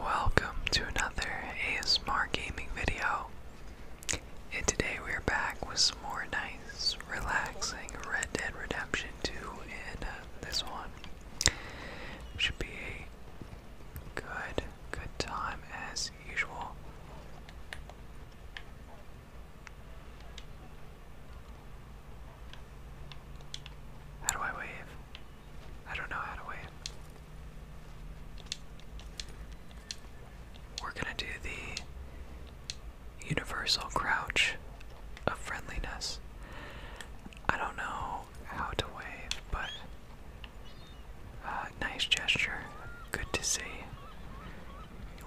Welcome to another ASMR gaming video. And today we are back with some more nice, relaxing Red Dead Redemption 2 And uh, this one. Should be a good, good time as usual. How do I wave? I don't know how to wait. We're gonna do the universal crouch of friendliness. I don't know how to wave, but uh, nice gesture. Good to see.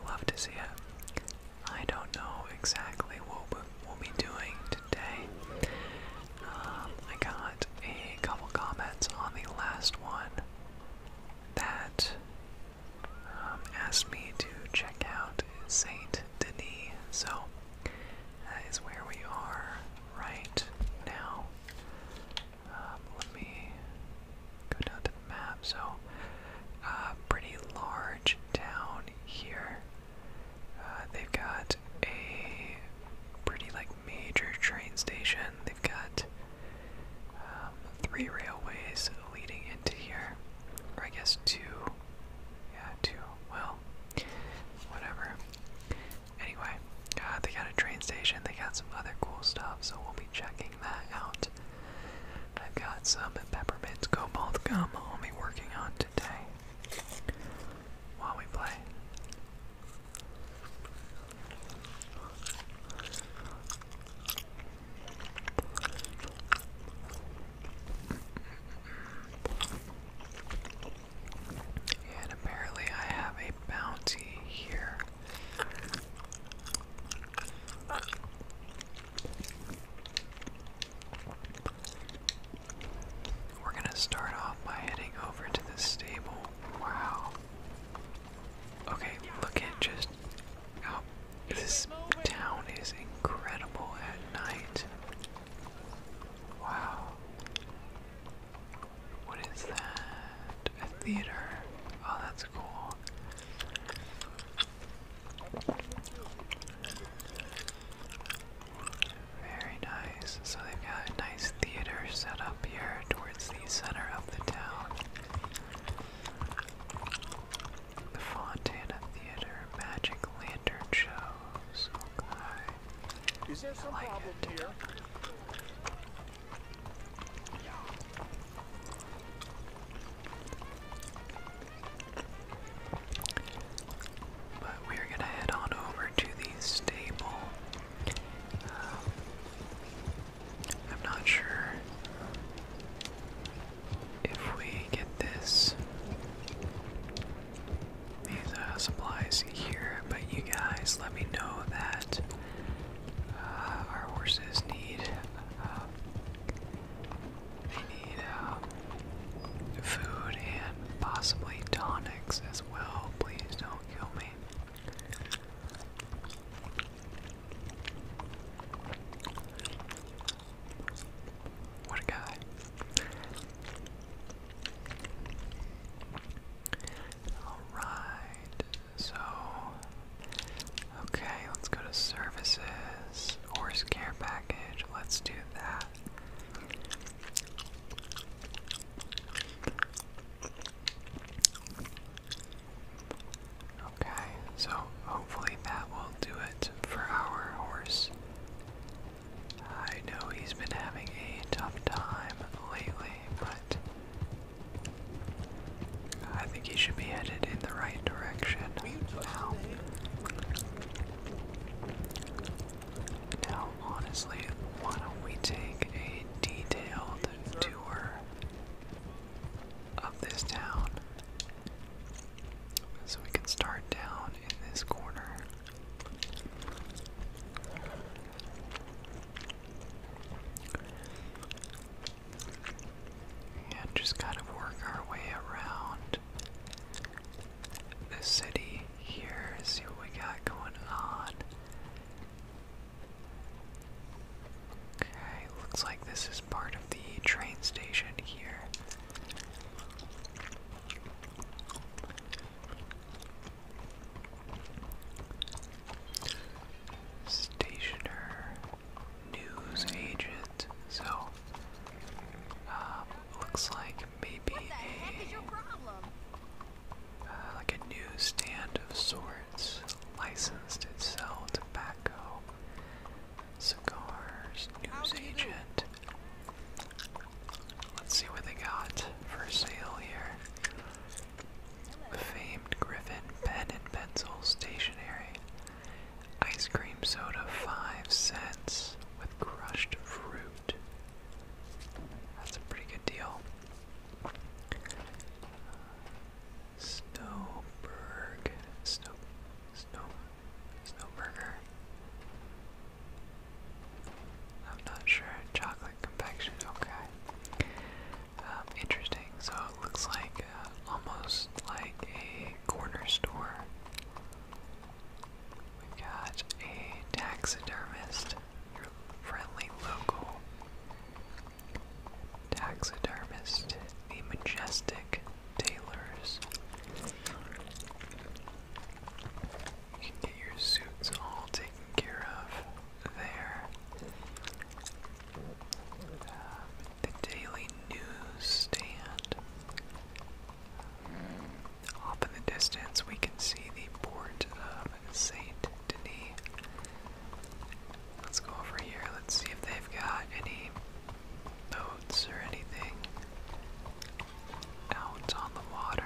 Love to see it. I don't know exactly what would we'll be doing today. Um, I got a couple comments on the last one that um, asked me to check out Saint Denis, so that is where we are right now. Um, let me go down to the map. So, uh, pretty large town here. Uh, they've got a pretty like major train station. They've got um, three railways leading into here, or I guess two. Yeah, two. Well, whatever. Anyway, uh, they got a train station. They got some other cool stuff, so we'll be checking that out. I've got some peppermints, cobalt gum I'll be working on today while we play. And apparently, I have a bounty here. We're gonna start off by heading over to the stable. Wow. Okay, look at just how this town is incredible at night. Wow. What is that? A theater. Oh, that's cool. Very nice. So they've got a nice theater set up here towards the center of the town. The Fontana Theater Magic Lantern Shows. Is there some like problem it. here? But we're gonna head on over to the stable. Um, I'm not sure if we get this these uh, supplies here, but you guys let me know that uh, our horses need uh, they need um, food and possibly tonics as well. Please don't kill me. What a guy. Alright, so. Okay, let's go to services. Horse care package. Let's do that. Okay, so hopefully that will do it for our horse. I know he's been having a tough time lately, but I think he should be headed in the right direction now. Now, honestly, why don't we take a detailed tour of this town? So we can start down in this corner. And just kind of work our way around the city here, see what we got going on. Okay, looks like this is part of the train station here. Stationer, news agent. So, uh, looks like maybe a uh, like a newsstand of sorts, licensed to sell tobacco, cigars, news Let's see what they got for sale here. Famed Griffin pen and pencil stationery. Ice cream soda, five cents with crushed fruit. That's a pretty good deal. Snowberg, Snow, Snow, Snowburger. I'm not sure. Chocolate complexion. Okay. Um, interesting. So it looks like uh, almost like a corner store. We've got a taxidermist, your friendly local taxidermist, the majestic tailors. You can get your suits all taken care of there. Um, the daily news stand. Off in the distance, we can see the port of Saint Denis. Let's go over here. Let's see if they've got any boats or anything out on the water.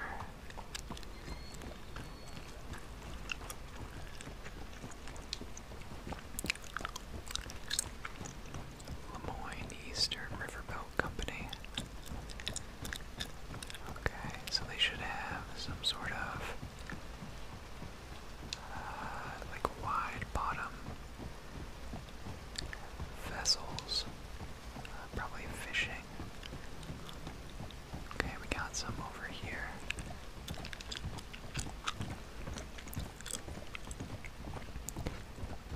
Lemoyne Eastern Riverboat Company. Okay, so they should have some sort of uh, like wide bottom vessels, uh, probably fishing. Okay, we got some over here.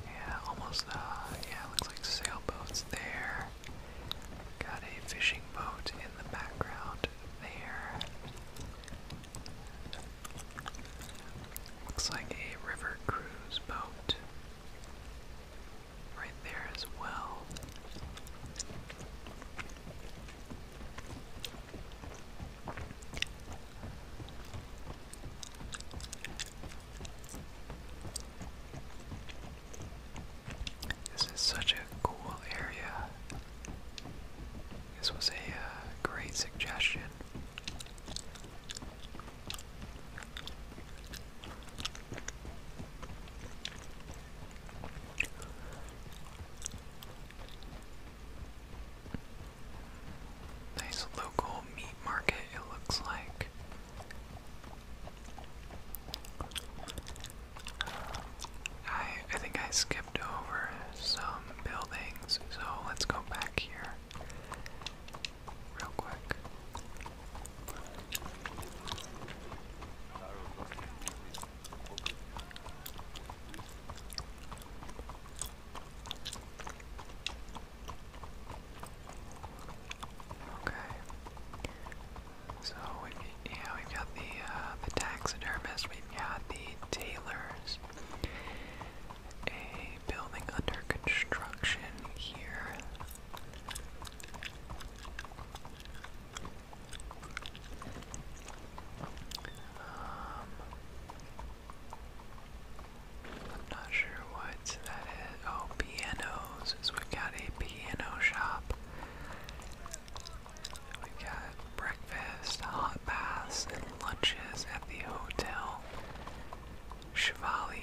Yeah, almost, uh, yeah, looks like sailboats there. Got a fishing boat in the background there. Looks like a river cruise boat right there as well. This is such a cool area. This was a uh, great suggestion. Nice local meat market, it looks like. I I think I skipped over some buildings, so let's go back here real quick. Okay. So we've yeah, we've got the uh, the taxidermist, we the tailors. A building under construction here. Um, I'm not sure what that is. Oh, pianos. we've got a piano shop. We've got breakfast, hot baths, and lunches at the hotel. Chevalier.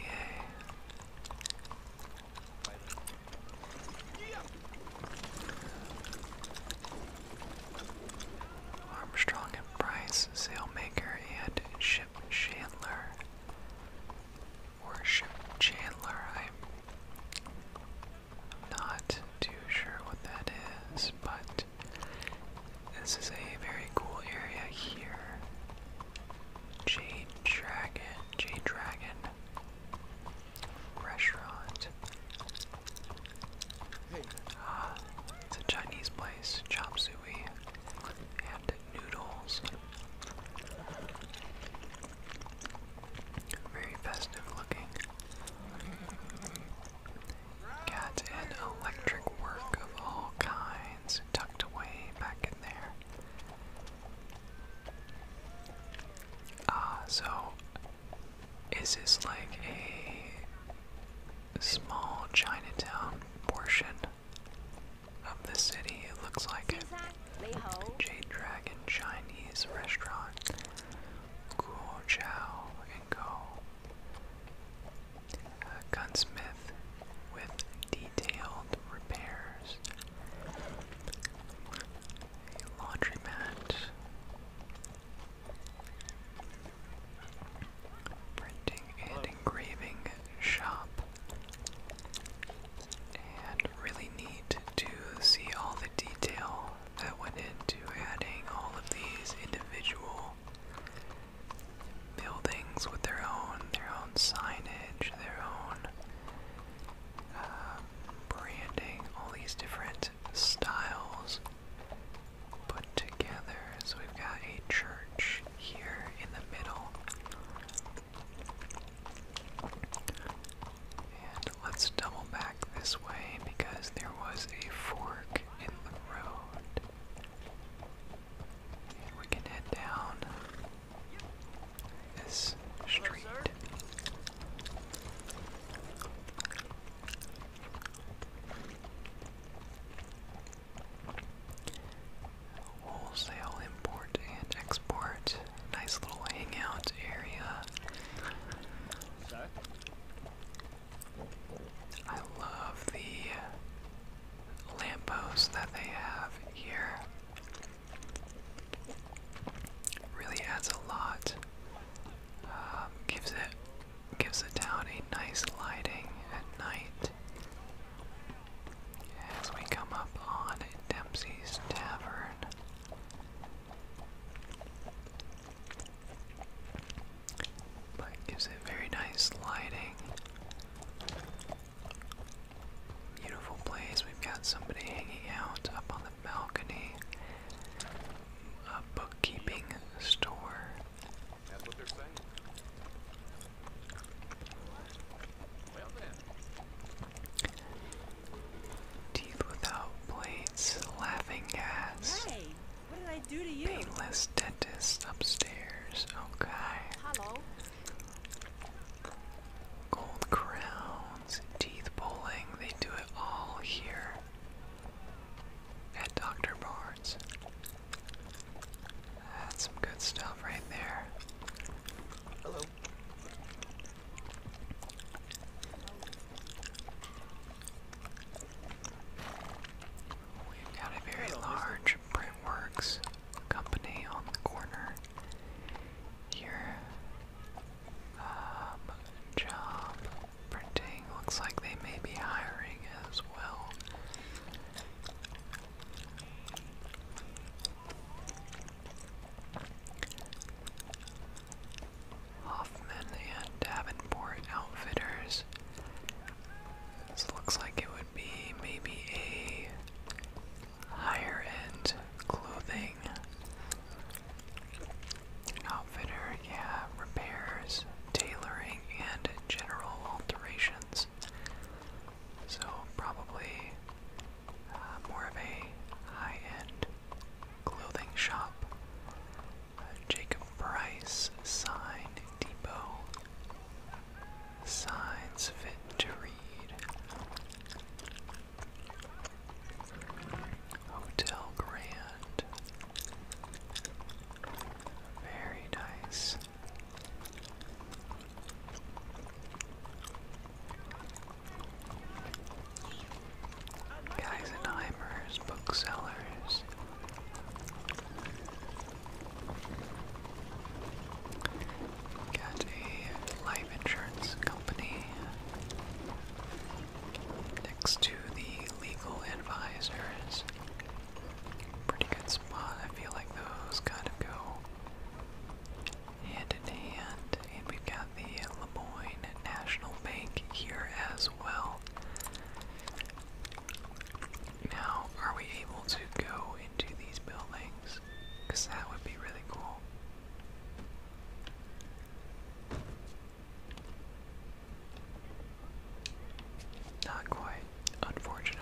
Armstrong and Price, sailmaker and ship chandler worship Chandler. I'm not too sure what that is, but this is a very cool area here. Jade Dragon, Jade Dragon restaurant. Ah, it's a Chinese place, chop suey, and noodles. Very festive looking. Got an electric work of all kinds tucked away back in there. Ah, uh, so is this like a small Chinatown portion of the city, it looks like it. Jade Dragon Chinese Restaurant. Cool Chow and Go. A gunsmith with detailed repairs. A laundromat. Printing and engraving shop. And really neat to see all the detail that went into adding all of these individual buildings with their own their own signage, their own um, branding, all these different styles put together. So we've got a church here in the middle let's double back this way because there was a fork in the road. we can head down this street wholesale import and export. Nice little hangout area. I love the lampposts that they have here. Really adds a lot. Um, gives it gives the town a nice lighting at night. As we come up on Dempsey's Tavern, gives it very nice lighting. Beautiful place. We've got somebody hanging out up on the balcony. A bookkeeping store. Teeth without blades, laughing gas. what did I do to you? Painless dentists upstairs. Okay. Gold crowns, teeth pulling. They do it all here at Dr. Barnes. That's some good stuff right there. Hello. We've got a very large printworks company on the corner here. Um, job printing looks like they may be hiring as well. Hoffman and Davenport Outfitters. This looks like it would be maybe a higher end clothing outfitter, yeah, repairs, tailoring, and general alterations. So probably uh, more of a high-end clothing shop. Jacob Price Sign Depot. Signs fit to read. Hotel Grand. Very nice. Geisenheimers, booksellers. Got a life insurance company next to the legal advisors. Pretty good spot. I feel like those kind of go hand in hand. And we've got the Lemoyne National Bank here as well. Now, are we able to go into these buildings? Because that would be really cool. Not quite, unfortunately.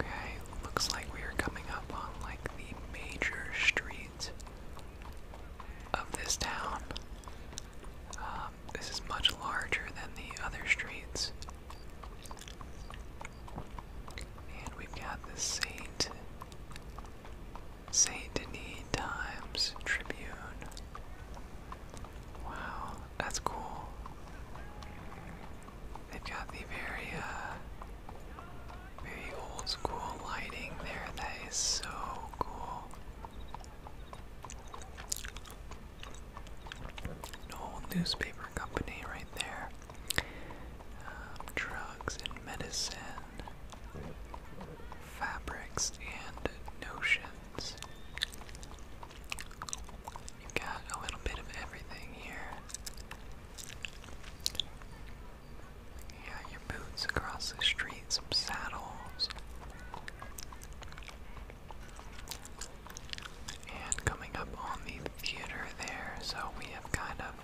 Okay, looks like we are coming up on like the major streets of this town. Um, this is much larger than the other streets. And we've got the Saint Saint Denis Times Tribune. Wow, that's cool. They've got the very, uh, very old school lighting there. That is so cool old newspaper company right there. Um, drugs and medicine, fabrics and notions. You've got a little bit of everything here. Yeah, your boots across the street, some saddles. And coming up on the theater there, so we have kind of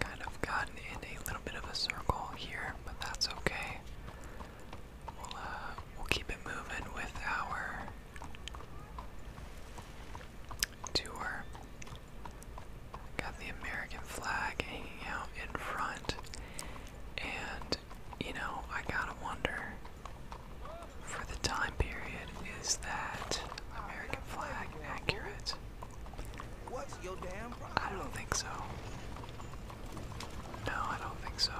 kind of gotten in a little bit of a circle here, but that's okay. We'll uh, we'll keep it moving with our tour. Got the American flag hanging out in front. And, you know, I gotta wonder for the time period, is that American flag accurate? I don't think so. No, I don't think so.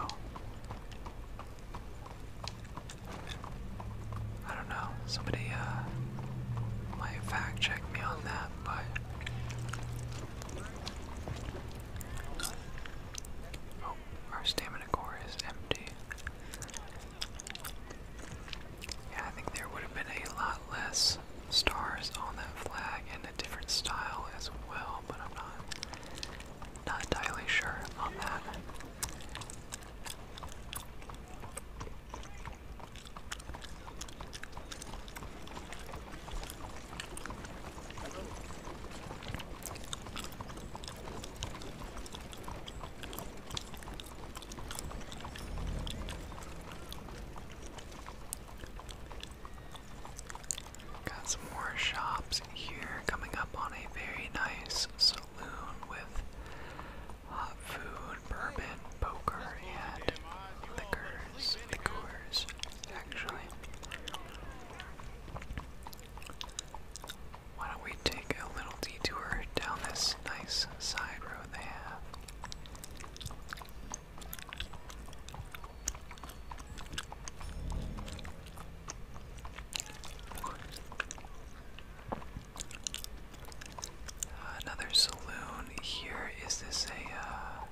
I don't know. Somebody uh, might fact check me on that, but Oh, our stamina core is empty. Yeah, I think there would have been a lot less stars on that flag and a different style as well, but I'm not not entirely sure on that. Got some more shops here coming up on a very nice saloon with hot food, bourbon, poker, and liquor. Coors, the actually. Why don't we take a little detour down this nice side road they have? another saloon here. Is this a uh,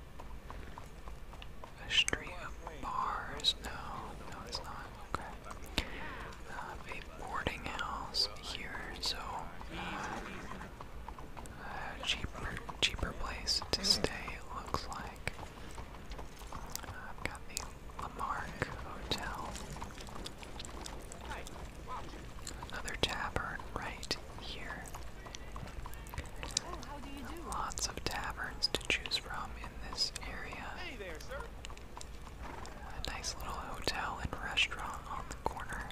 a street of bars? No, no, it's not. Uh, a boarding house here, so uh, cheaper, cheaper place to stay. looks like. Uh, I've got the Lamarck Hotel. Another tavern right here. Lots of taverns to choose from in this area. nice little hotel and restaurant on the corner.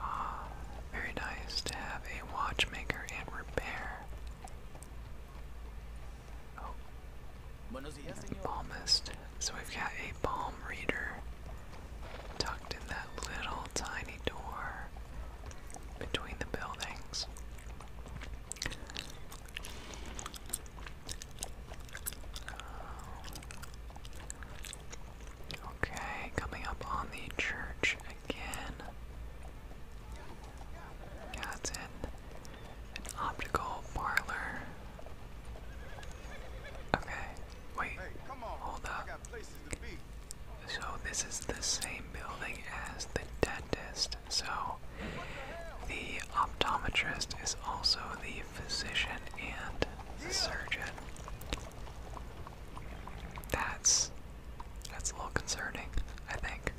Ah, very nice to have a watchmaker and repair. Balmist. So we've got a balm reader tucked in that little tiny door between the buildings. Okay, coming up on the church again. Got it. An optical parlor. Okay, wait, hold up. So this is the same building as the dentist. So the optometrist is also the physician and the surgeon. That's that's a little concerning, I think.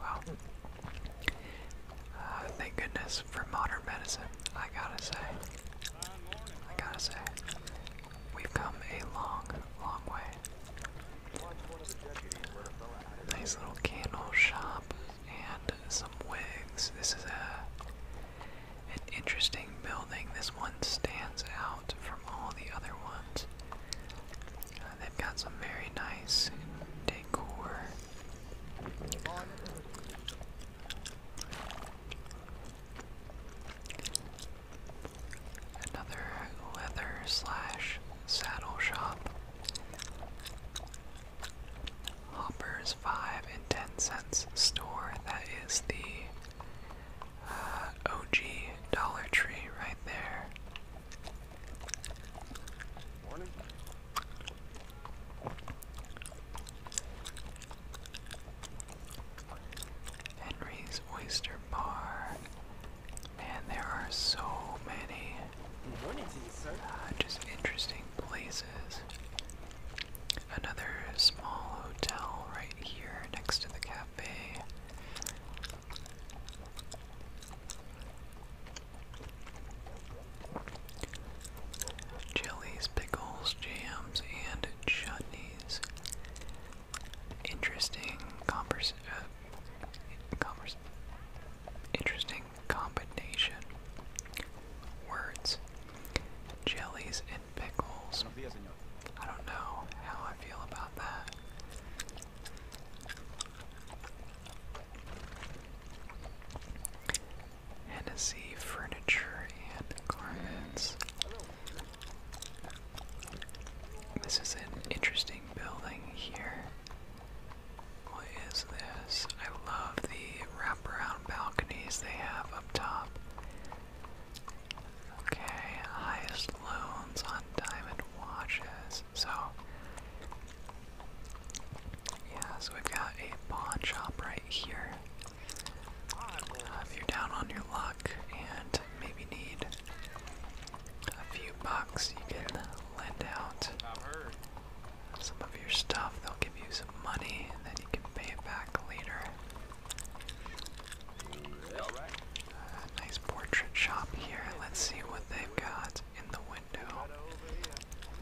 Well, uh, thank goodness for modern medicine, I gotta say. I gotta say, we've come a long, long way. Nice little candle shop and some wigs. This is a an interesting building. This one stands out from all the other ones. Uh, they've got some very nice decor Another leather slash saddle shop. Hoppers 5 and 10 cents store. That is the uh, OG Dollar Tree right there. Morning. Henry's Oyster Bar. and there are so many uh, just interesting places. Another small hotel right here next to the cafe. Jellies, pickles, jams, and chutneys. Interesting converse, uh, interesting combination. Words. Jellies and pickles. I don't know how I feel about that. Hennessy Furniture and Garments. This is an interesting building here. What is this? I love the wraparound balconies they have up top. Okay, highest loans on diamond watches. So, yeah, so we've got a pawn shop right here. Uh, if you're down on your luck and maybe need a few bucks, you can lend out some of your stuff. They'll give you some money, and then you can pay it back later. Uh, nice portrait shop here. Let's see what they've got in the window.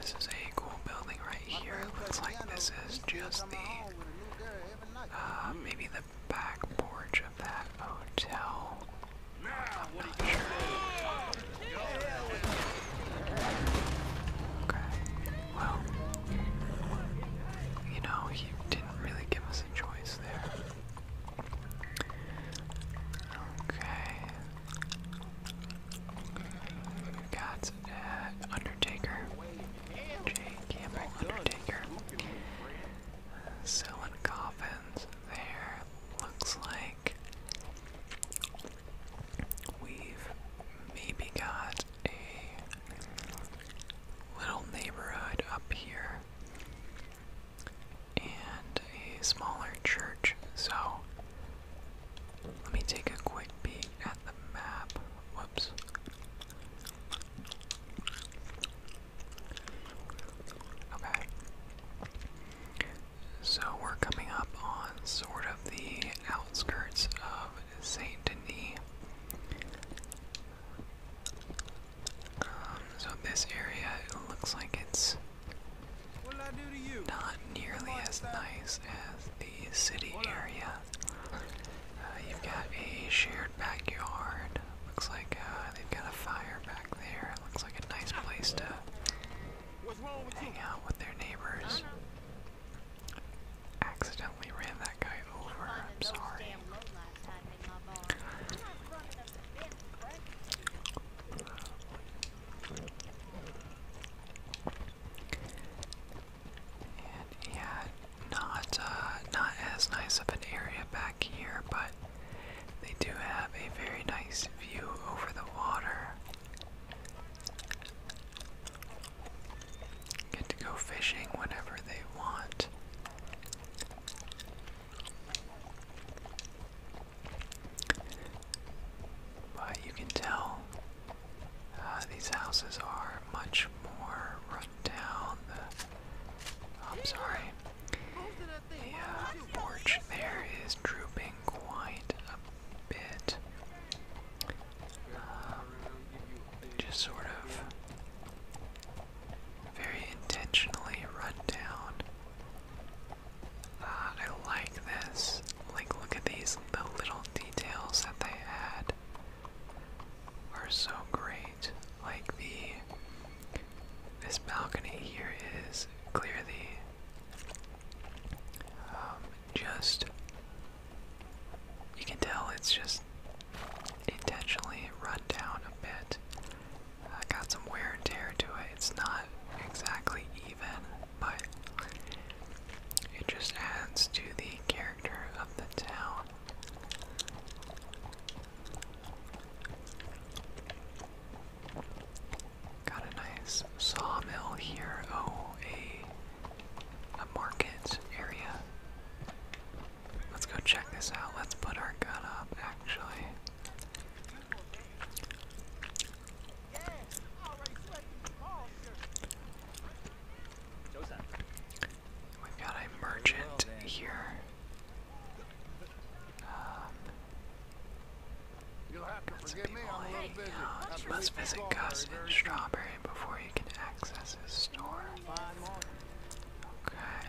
This is a cool building right here. It looks like this is just the, uh, maybe the back porch of that hotel. I'm not sure. Okay, well, you know, he didn't really give us a choice there. Okay, Got uh, Undertaker, Jay Campbell Undertaker, uh, coffins there. Looks like we've maybe got a little neighborhood up here and a smaller church. So let me take a quick peek at the map. Whoops. Okay. So we're coming up on sort of the outskirts of Saint Denis. Um, so this area looks like it's not nearly as nice as the city area. Uh, you've got a shared backyard. Looks like uh, they've got a fire back there. Looks like a nice place to hang out with their neighbors. Uh-huh. Accidentally ran that guy over. I'm sorry yeah, not uh, not as nice of an area back here, but they do have a very nice view over the water. Get to go fishing whenever they want. But you can tell uh, these houses are much more run down. I'm sorry. The uh, porch there is drooping quite a bit. Um, just sort of very intentionally run down. I like this. Like, look at these. The little details that they add are so great. Like the this balcony here is clearly um, just. You can tell it's just intentionally run down a bit. Uh, got some wear and tear to it. It's not exactly even, but it just adds to the character of the town. Got a nice sawmill here. Oh, a a market area. Let's go check this out. Let's put our gun up actually. We've got a merchant here. Um, a little busy. You must visit Gus Strawberry before you can access his store. Okay.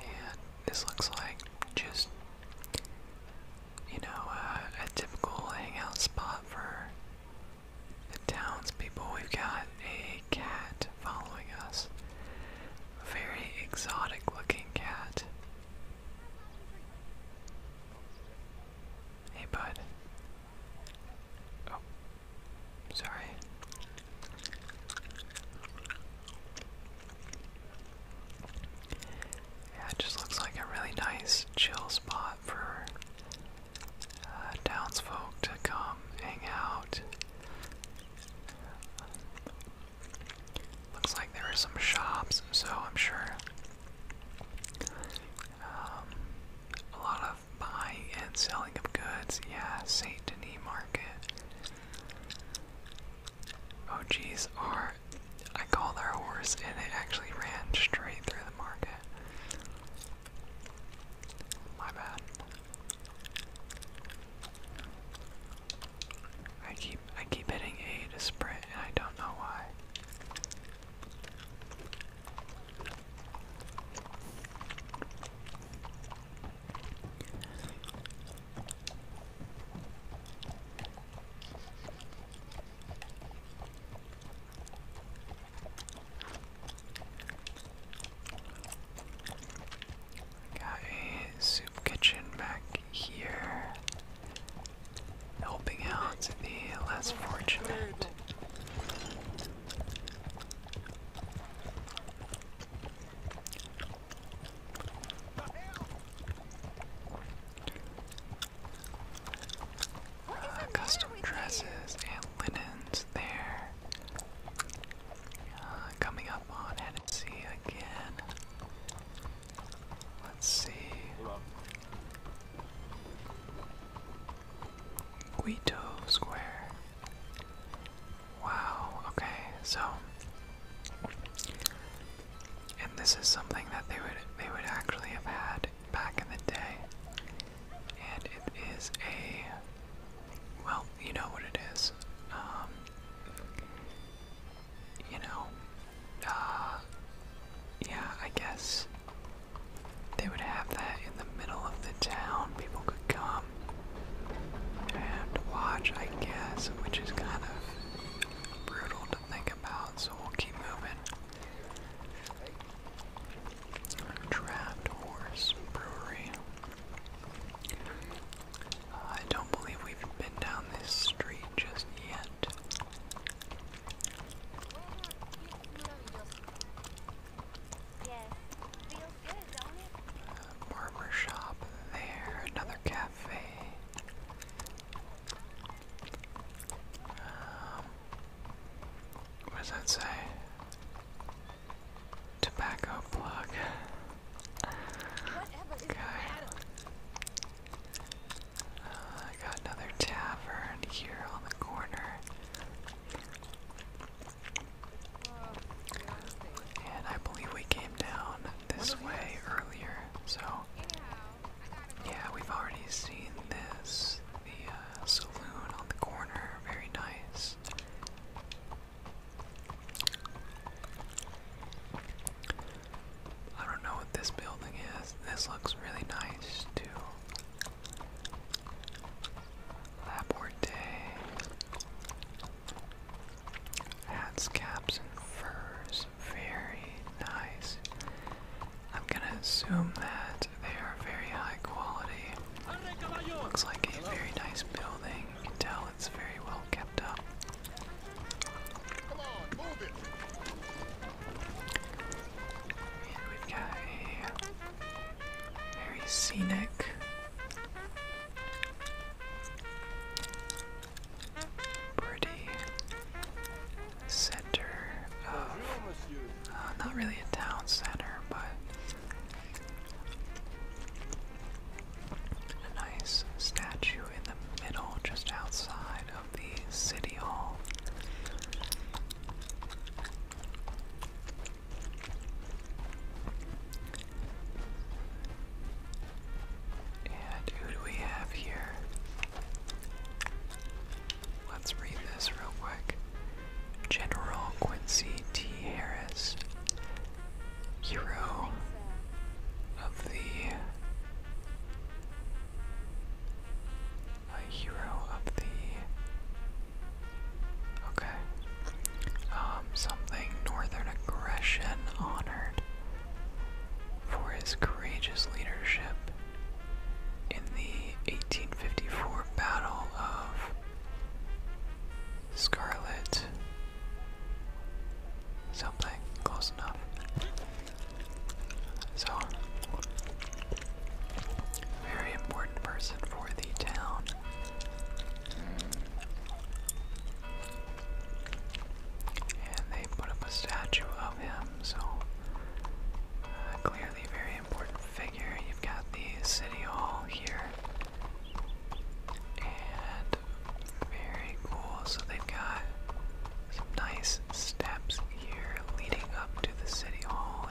And this looks like just, you know, uh, a typical hangout spot for the townspeople. We've got a cat following us. A very exotic looking cat. Hey, bud. Oh, sorry. Yeah, it just looks like a really nice, chill spot for uh, townsfolk to come hang out. Looks like there are some shops, so I'm sure um, a lot buying and selling of goods. Yeah, Saint Denis Market. Oh geez, are I called our horse and it actually ran straight through the market. My bad. I keep I keep hitting A to sprint and I don't know why. Got a soup kitchen back here, helping out the less fortunate custom dresses and linens there. Uh, coming up on Hennessy again. Let's see. Guido Square. Wow, okay, so and this is something that they would they would actually have had back in the day. And it is a well, you know what it is. Um, you know, uh, yeah, I guess they would have that in the middle of the town. People could come and watch, I guess, which is kind of brutal to think about, so we'll keep moving. Draft Horse Brewery. Uh, I don't believe we've been down this street just yet. Yes. shop there, another cafe. Um, what does that say? Tobacco plug. Okay. Uh, I got another tavern here on the corner. And I believe we came down this way earlier, so yeah, we've already seen this. The uh, saloon on the corner, very nice. I don't know what this building is. This looks really nice too. Lab Hats, caps, and furs. Very nice. I'm gonna assume that they are very high quality. Looks like a very nice building. can tell it's very well kept up. we've got a very scenic. Pretty center of uh, not really a town center, but a nice statue in the middle, just outside of the city hall. And who do we have here? Let's read this real quick. General Quincy T. Harris, hero of the. A hero of the Okay. Um, something Northern Aggression honored for his courageous leadership in the 1854 Battle of Scarlet. Something close enough. So, very important person for the town. And they put up a statue of him, so uh, clearly very important figure. You've got the city hall here. And very cool. So they've got some nice steps here leading up to the city hall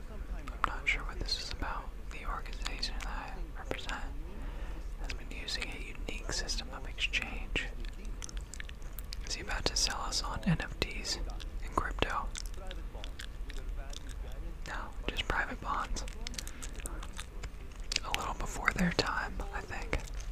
I'm not sure what this is about. The organization that I has been using a unique system of exchange. Is he about to sell us on NFTs and crypto? No, just private bonds. A little before their time, I think.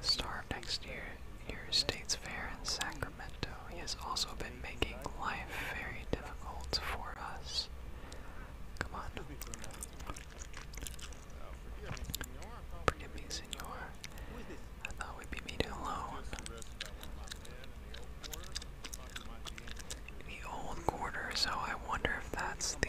Star of next year, your state's fair in Sacramento. He has also been making life very difficult for us. Come on. Forgive me, senor. I thought we'd be meeting alone. The old quarter, so I wonder if that's the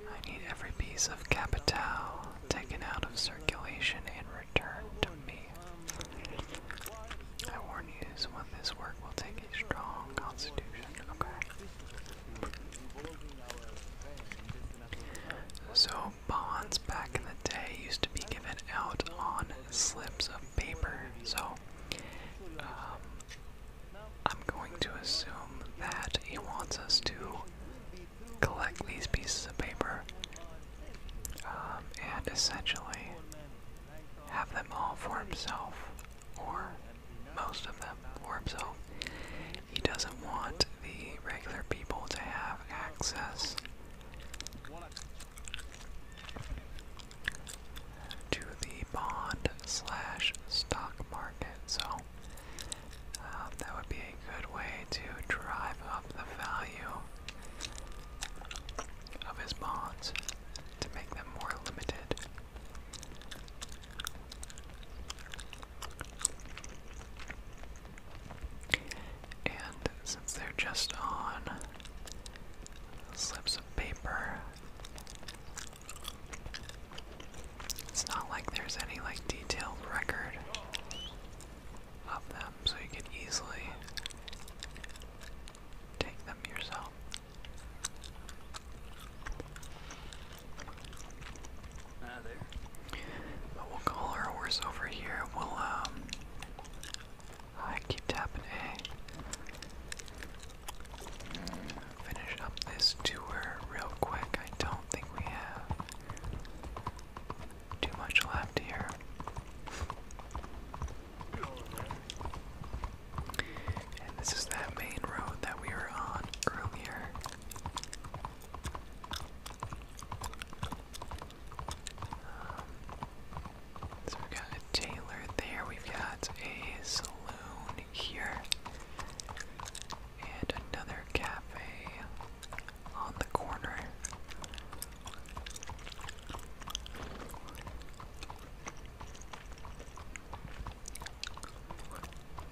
I need every piece of capital taken out of circulation and returned to me. I warn you, this work will take a strong constitution. Okay. So, bonds back in the day used to be given out on slips of paper. So, um, I'm going to assume that he wants us to collect these pieces of paper um, and essentially have them all for himself, or most of them for himself. He doesn't want the regular people to have access to the bond slash stock market. So um, that would be a good way to drive up the value of his bonds to make them more limited. And since they're just on slips of paper, it's not like there's any like detailed record of them, so you can easily take them yourself. Ah, but we'll call our horse over here. We'll um I keep tapping A. Finish up this tour real quick. I don't think we have too much left here. And this is that main road that we were on earlier. Um, so we've got a tailor there, we've got a saloon here, and another cafe on the corner.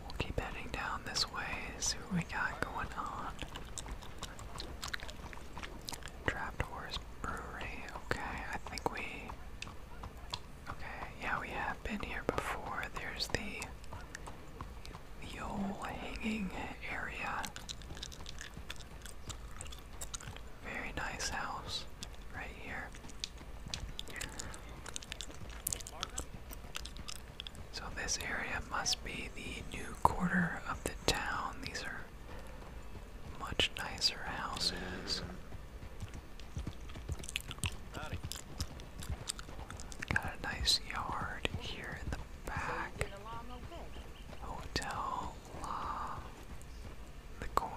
We'll keep heading down this way, see what we got going on. Trapdoors Brewery, okay, I think we Okay, yeah, we have been here before. There's the the old hanging area. Very nice house right here. So this area must be the new quarter of the town. These are much nicer houses. Got a nice yard here in the back. Hotel La the Corn.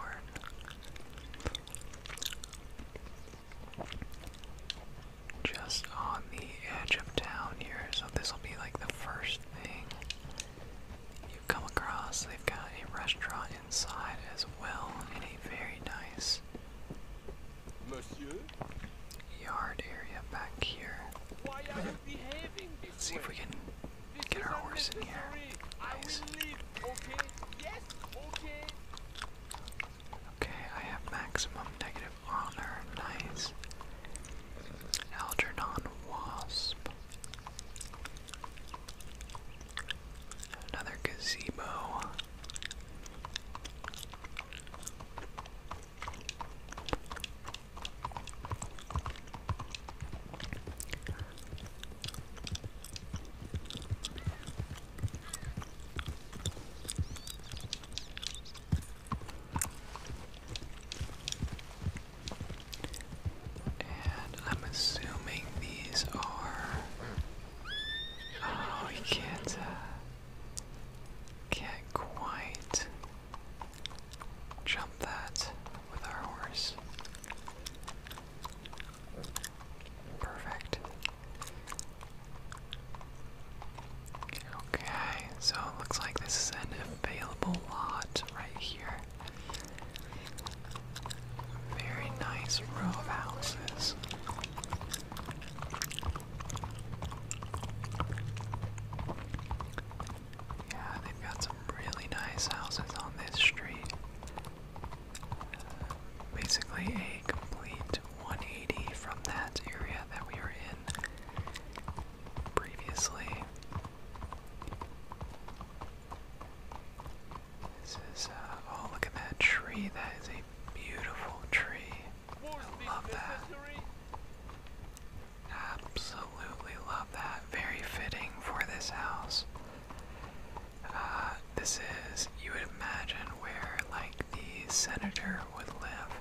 Just on the edge of town here, so this will be like the first thing you come across, they've got a restaurant inside as well, and a very nice yard area back here. see if we can get our horse in here. Nice. okay, I have maximum negative honor. Nice. Algernon Wasp. Another gazebo. And I'm assuming these are. Oh, you can't. Uh, can't quite jump that with our horse. Perfect. Okay, so it looks like this is an available lot right here. Very nice row of houses. Yeah, they've got some really nice houses on this street. basically, a complete 180 from that area that we were in previously. This is, uh, oh, look at that tree. That is a beautiful tree. I love that. Absolutely love that. Very fitting for this house. Uh, this is, you would imagine, where, like, the senator would live.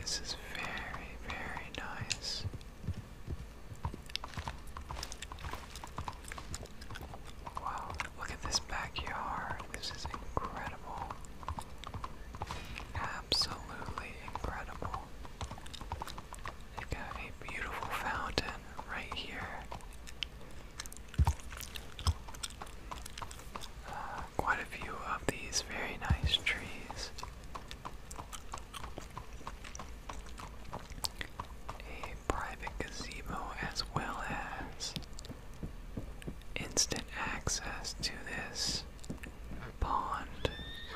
This is very, very nice. Wow, look at this backyard. This is incredible. Absolutely incredible. They got a beautiful fountain right here. Uh, quite a few of these very nice trees. A private gazebo, as well as instant access to this pond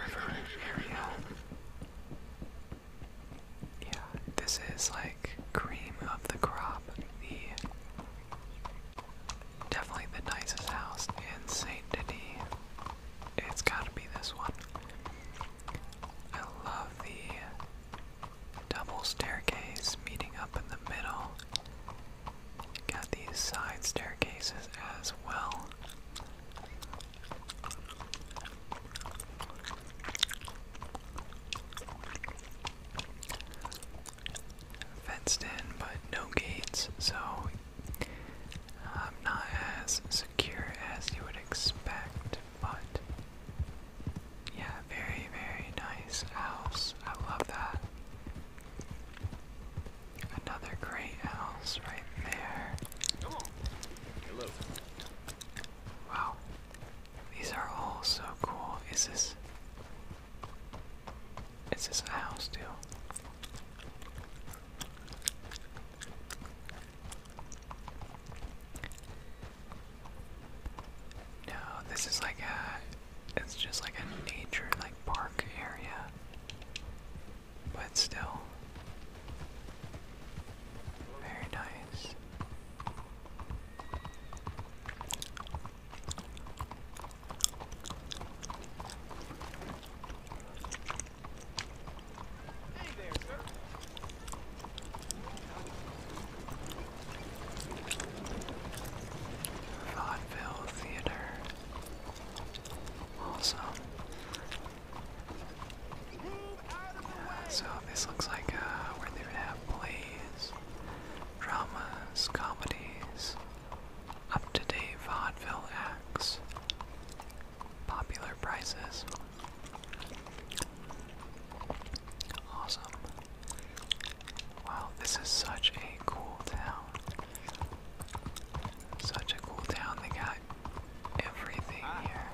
river area. Yeah, this is like cream of the crop, Definitely the nicest house in Saint Denis. It's gotta be this one. I love the double staircase meeting up in the middle. Got these side staircases as well fenced in, but no gates, so I'm um, not as secure as you would expect, but yeah, very, very nice house. I love that. Another great house right there. Come on. Hello. Wow. These are all so cool. Is this is this a house deal? No, this is like a, it's just like a nature, like park area, but still very nice. Vaudeville Theater. Awesome. so this looks like uh, where they would have plays, dramas, comedies, up-to-date vaudeville acts. Popular prices. Awesome. Wow, this is such a cool town. Such a cool town. They got everything ah. here.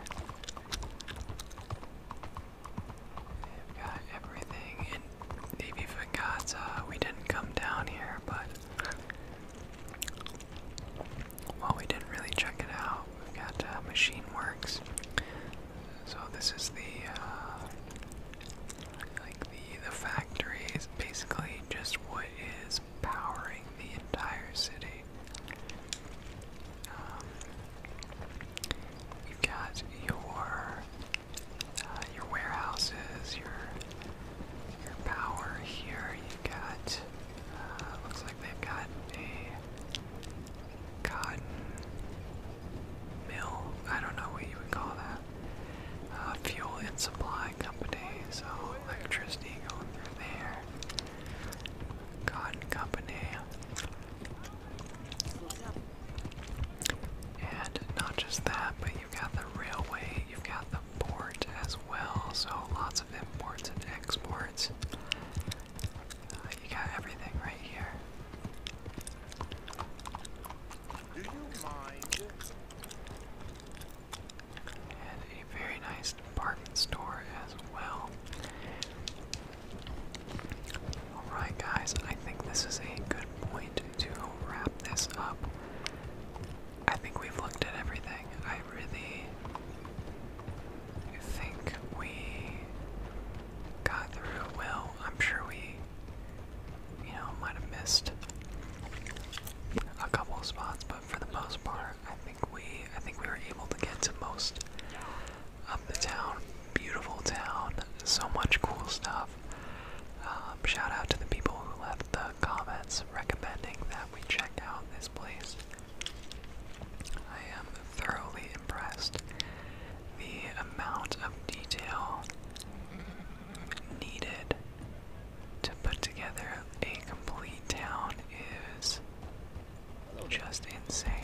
They've got everything in Navy Fagata, uh, we didn't come down here, but well, we didn't really check it out. We've got uh, Machine Works. So this is the uh, like the the factory is basically just what is powering the entire city. Um, we've got your your warehouses, your your power here. You've got uh, looks like they've got a cotton mill. I don't know what you would call that. Uh, fuel and supply company. So electricity going through there. Cotton company. And not just that, but you've got the railway, you've got the port as well, so lots of imports and exports. Uh, you got everything right here. Do you mind? And a very nice department store as well. Alright, guys, I think this is a good point to wrap this up. I think we've looked at everything. I really think we got through well. I'm sure we, you know, might have missed a couple spots, but for the most part, I think we, I think we were able to get to most of the town. Beautiful town. So much cool stuff. Um, shout out to the people who left the comments recommending that we check out this place. I am thoroughly impressed. The amount of detail needed to put together a complete town is just insane.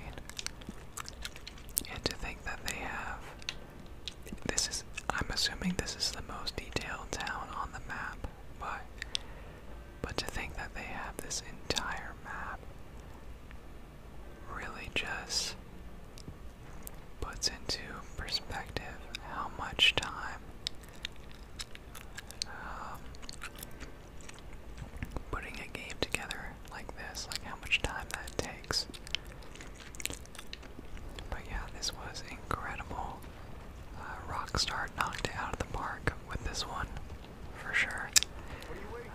And to think that they have this is, I'm assuming this is the most detailed town on the map, but, but to think that they have this entire map really just puts into perspective how much time um, putting a game together like this, like how much time that takes. But yeah, this was incredible. Uh, Rockstar knocked it out of the park with this one, for sure.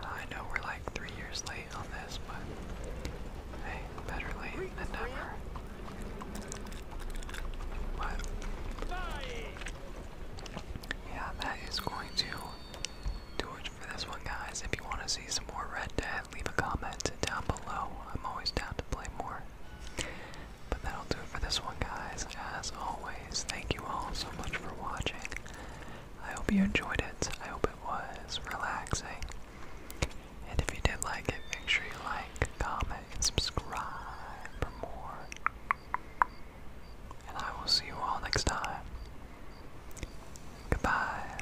Uh, I know we're like three years late on this, but hey, better late than never. But yeah, that is going to do it for this one, guys. If you want to see some more Red Dead, leave a comment down below. I'm always down to play more. But that'll do it for this one, guys. As always, thank you all so much for watching. I hope you enjoyed it. I hope it was relaxing. And if you did like it, make sure you like, comment, and subscribe for more. And I will see you all next time. Goodbye.